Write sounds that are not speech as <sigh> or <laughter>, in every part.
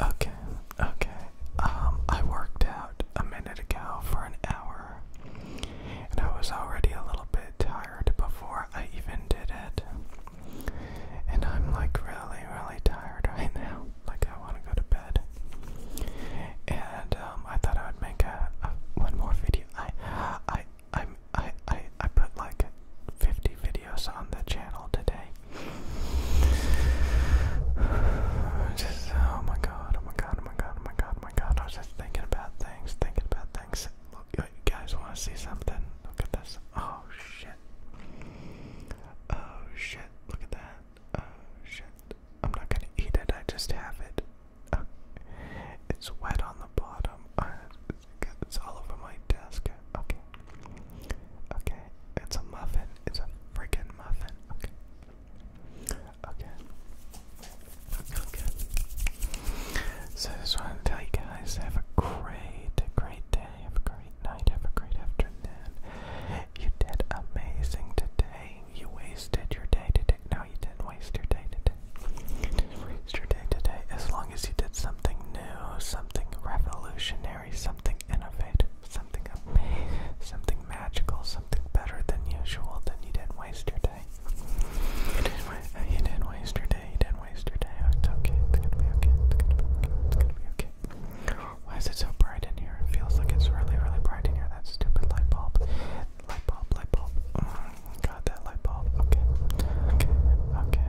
Okay, okay. Um, I worked out a minute ago for an hour, and I was already a little bit tired before I even did it. And I'm like really, really tired right now. Like I want to go to bed. And um, I thought I would make a, one more video. I, I, I, I, I put like 50 videos on the channel today. Just, oh my god, oh my god, oh my god, oh my god, my god. I was just thinking about things, thinking about things. Look, you guys want to see something? Look at this. Oh shit. Oh shit. Look at that. Oh shit. I'm not gonna eat it, I just have it. It's wet on the bottom it's all over my desk. Okay. Okay. It's a muffin. It's a freaking muffin. Okay. Okay. Okay. So I just wanted to tell you guys have a great, great day. Have a great night. Have a great afternoon. You did amazing today. You wasted your day today. No, you didn't waste your day today. You didn't waste your day today. As long long as you did something new, something revolutionary, something innovative, something amazing, something magical, something better than usual, then you didn't waste your day. Uh, you didn't, waste your day, you didn't waste your day. It's okay, it's gonna be okay, it's gonna be okay, it's gonna be okay. Why is it so bright in here? It feels like it's really, really bright in here. That stupid light bulb. Light bulb, light bulb. Mm, God, that light bulb. Okay, okay, okay.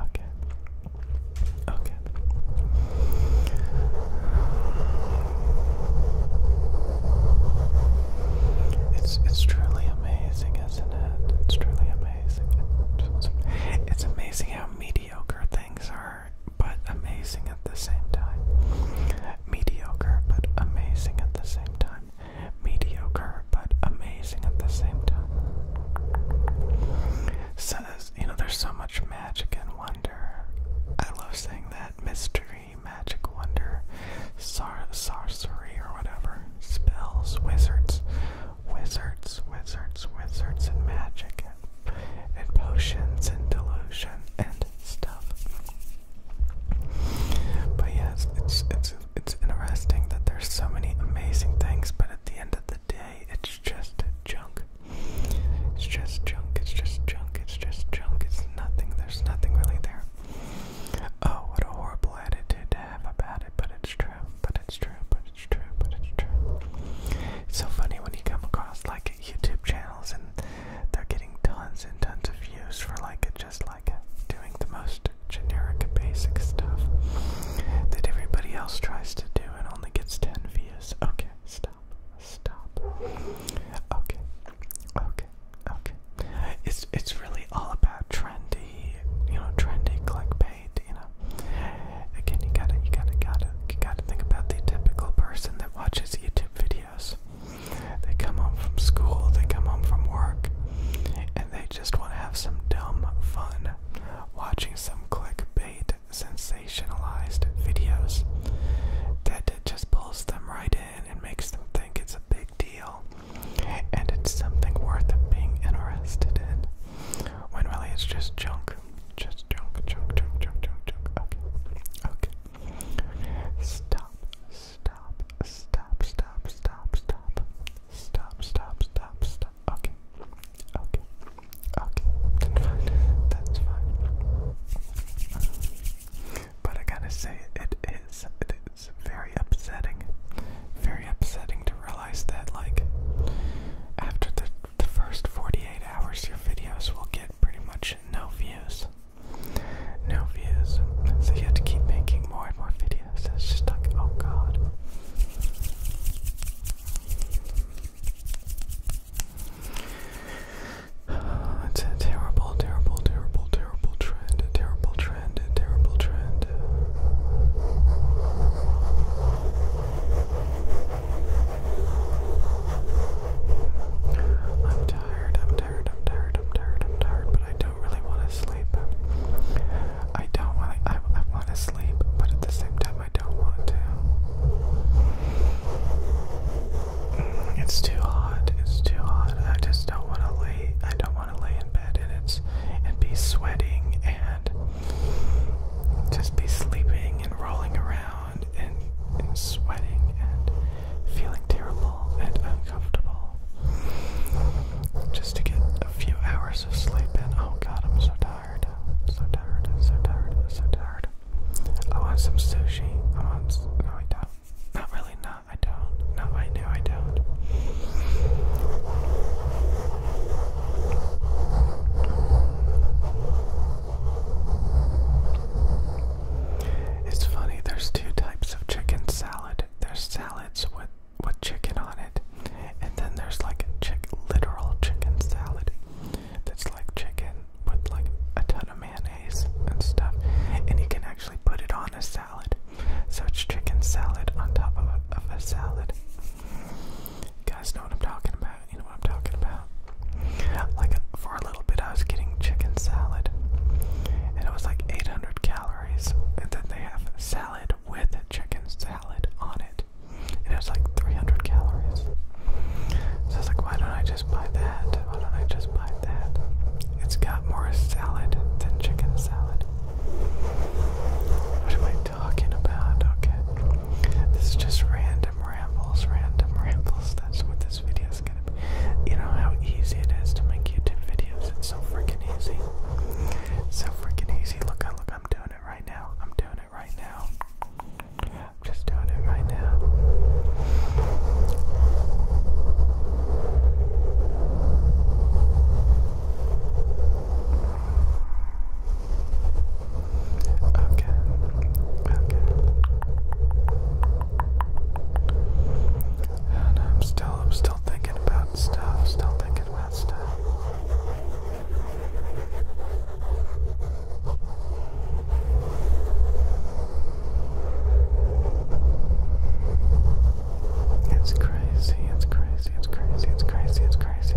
Okay. Okay. It's it's truly amazing, isn't it? It's truly amazing. it's amazing how mediocre things are, but amazing at the same time. Mediocre, but amazing at the same time mediocre but amazing at the same time. Says, you know, there's so much magic and wonder. I love saying that mystery, magic, wonder, sorcery, or whatever. Spells, wizards, wizards, wizards, wizards, and magic, and, potions, and delusion, and stuff. But yes, it's, it's it's interesting that there's so many amazing things, but at the end of the day, it's just junk. It's just junk. It's just junk. It's just junk. It's nothing. There's nothing really there. Oh, what a horrible attitude to have about it, but it's true. But it's true. But it's true. But it's true. It's so funny when you come across like YouTube channels and they're getting tons and tons of views for like it just like doing the most generic basic stuff that everybody else tries to do and only gets 10 views. Okay, stop. Stop. Okay. Okay. Okay. It's it's really all about trendy, you know, trendy clickbait, you know. Again, you gotta you gotta gotta you gotta think about the typical person that watches YouTube videos. They come home from school, they come home from work, and they just want to have some dumb fun watching some clickbait sensationalized videos that just pulls them right in and makes them think it's a big deal and it's something worth being interested in when really it's just junk. Just junk, junk, junk, junk, junk, Okay. Okay. Stop. Stop, stop, stop, stop, stop. Stop, stop, stop, stop. Okay. Okay. Okay. That's fine. That's fine. But I gotta say, it is, it is very upsetting. Very upsetting to realize that, like, after the, the first 48 hours, your videos will get pretty much no views no views, so you have to keep making more and more videos. It's just like, oh god. Uh, <sighs> it's a terrible, terrible, terrible, terrible trend. A terrible trend. A terrible trend. I'm tired. I'm tired. I'm tired. I'm tired. I'm tired. But I don't really want to sleep. I don't want to, I, want to sleep, but at the same time, I don't want to. It's too hot. It's too hot. I just don't want to lay. I don't want to lay in bed and it's and be sweating and just be sleeping and rolling around and sweating and feeling terrible and uncomfortable just to get a few hours of sleep in. Oh god, I'm so tired. so tired. so tired. so tired. I want some sushi. I want. No, I don't. Not really. Not. I don't. No, I knew I don't. It's funny. There's two types of chicken salad. There's salads with with chicken on it, and then there's like a literal chicken salad that's like chicken with like a ton of mayonnaise and stuff, and you can actually put it on a salad. So it's chicken salad on top of a, of a salad. You guys know what I'm talking about. You know what I'm talking about. Like a, for a little bit, I was getting chicken salad, and it was like 800 calories. And then they have salad with chicken salad on it, and it was like 300 calories. So I was like, why don't I just buy that? Why don't I just buy that? It's got more salad than chicken salad. What am I talking about? Okay. This is just random rambles, random rambles. That's what this video is. You know how easy it is to make YouTube videos? It's so freaking easy. so freaking easy. Look, look, I'm doing it right now. I'm doing it right now. I'm just doing it right now. Okay. And I'm still I'm still thinking about stuff, still thinking about stuff. It's crazy, it's crazy, it's crazy, it's crazy, it's crazy.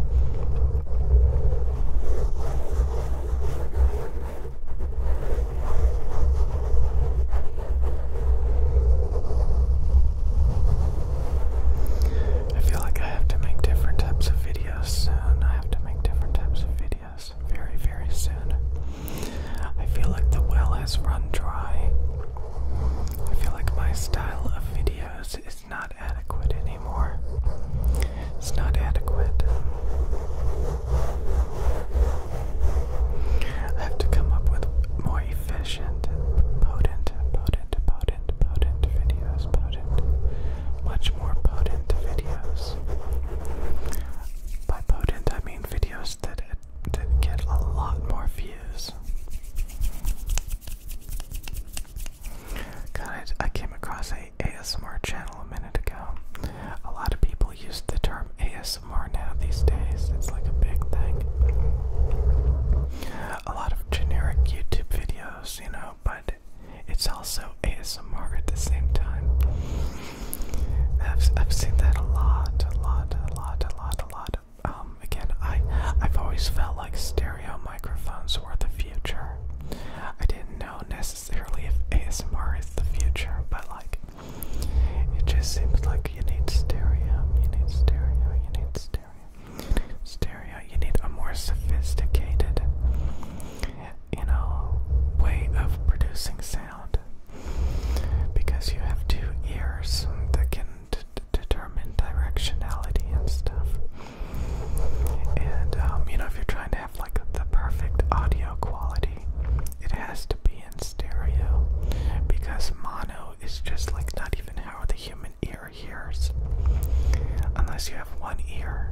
I feel like I have to make different types of videos soon. I have to make different types of videos very, very soon. I feel like the well has run dry. I feel like my style of videos is not adequate anymore. It's not adequate. I have to come up with more efficient, potent, potent, potent, potent videos, potent, much more potent videos. By potent, I mean videos that, get a lot more views. God, I, I came across a ASMR channel a minute ago. A lot of people use the term ASMR now these days, it's like a big thing. A lot of generic YouTube videos, you know, but it's also ASMR at the same time. I've, I've seen that a lot, a lot, a lot, a lot, a lot. Um, again, I, I've always felt like stereo microphones were the future. I didn't know necessarily necessarily if ASMR is the future, but like it just seems like you need stereo, you need stereo, you need stereo, stereo, you need a more sophisticated, you know, way of producing sound because you have two ears that can determine directionality and stuff. And um, you know, if you're trying to like the perfect audio quality, it has to be in stereo because mono is just like not even how the human ear hears unless you have one ear.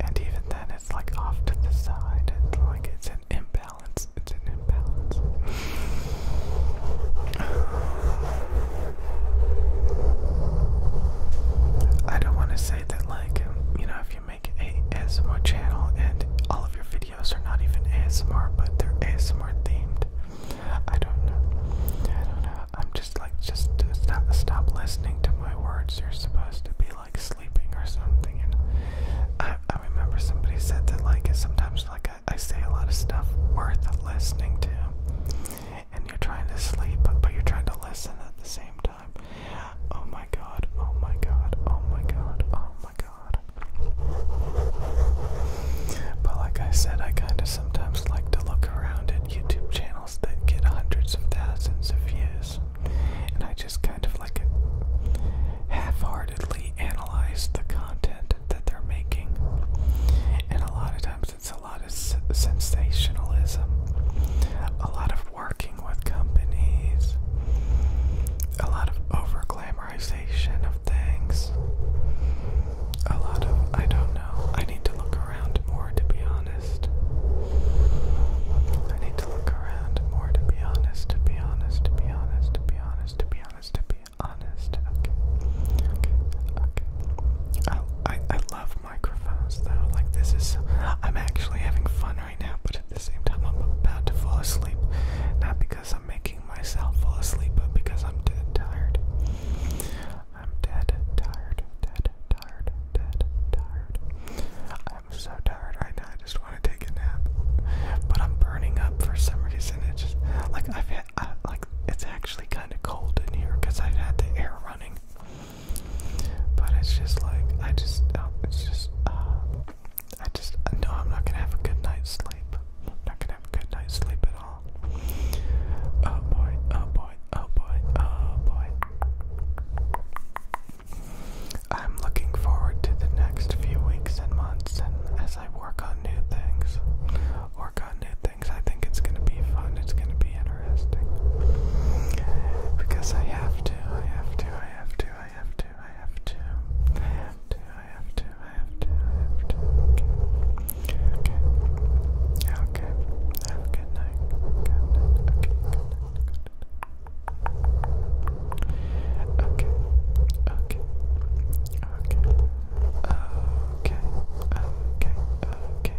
And even then, it's like off to the side, it's like it's an imbalance. It's an imbalance. <sighs> I don't want to that, like, you know, if you make a ASMR channel and all of your videos are not even ASMR, but they're ASMR themed, I don't know. I don't know. I'm just like, just stop, stop listening to my words. You're supposed to be like sleeping or something. And I, I remember somebody said that, like, sometimes, like, I say a lot of stuff worth listening to and you're trying to sleep, but you're trying to listen at the same time. Oh my god, oh my god, oh my god, oh my god. But like I said, I kind of sometimes like to look around at YouTube channels that get hundreds of thousands of views, and I just kind of like half heartedly analyze the content that they're making. And a lot of times because it's a lot of s sensationalism, a lot of working with companies, a lot of over glamorization of things, a lot of I don't know. I need to look around more to be honest. I need to look around more to be honest, to be honest, to be honest, to be honest, to be honest, to be honest. Okay. Okay. Okay. I I, I love microphones though. Like this is, I'm actually having fun right now, but at the same time I'm about to fall asleep. Not because I'm making myself fall asleep, but because I'm dead tired. I'm dead tired, dead tired, dead tired. I'm so tired right now. I just want to take a nap, but I'm burning up for some reason. It's just like I've had, like it's actually kind of cold in here because I've had the air running. But it's just like I just, uh, it's just, uh, I just uh, no, I'm not gonna have a good night's sleep. I'm not gonna have a good night's sleep at all. Oh boy, oh boy, oh boy, oh boy. I'm looking forward to the next few weeks and months, and as I work on new things, work on new things. I think it's going to be fun. It's going to be interesting. Because I have to, I have to, I have to, I have to, I have to. I have to, I have to, I have to, I have to. Okay. Okay. Okay. Okay. Good night. Good night. Okay. Okay. Okay. Okay. Okay. Okay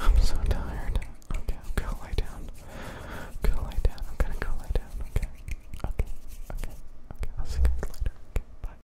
I'm so tired. Okay, I'm down. I'm down. I'm gonna go lie down. Okay. Okay. Okay. Okay. I'll see you later. Bye.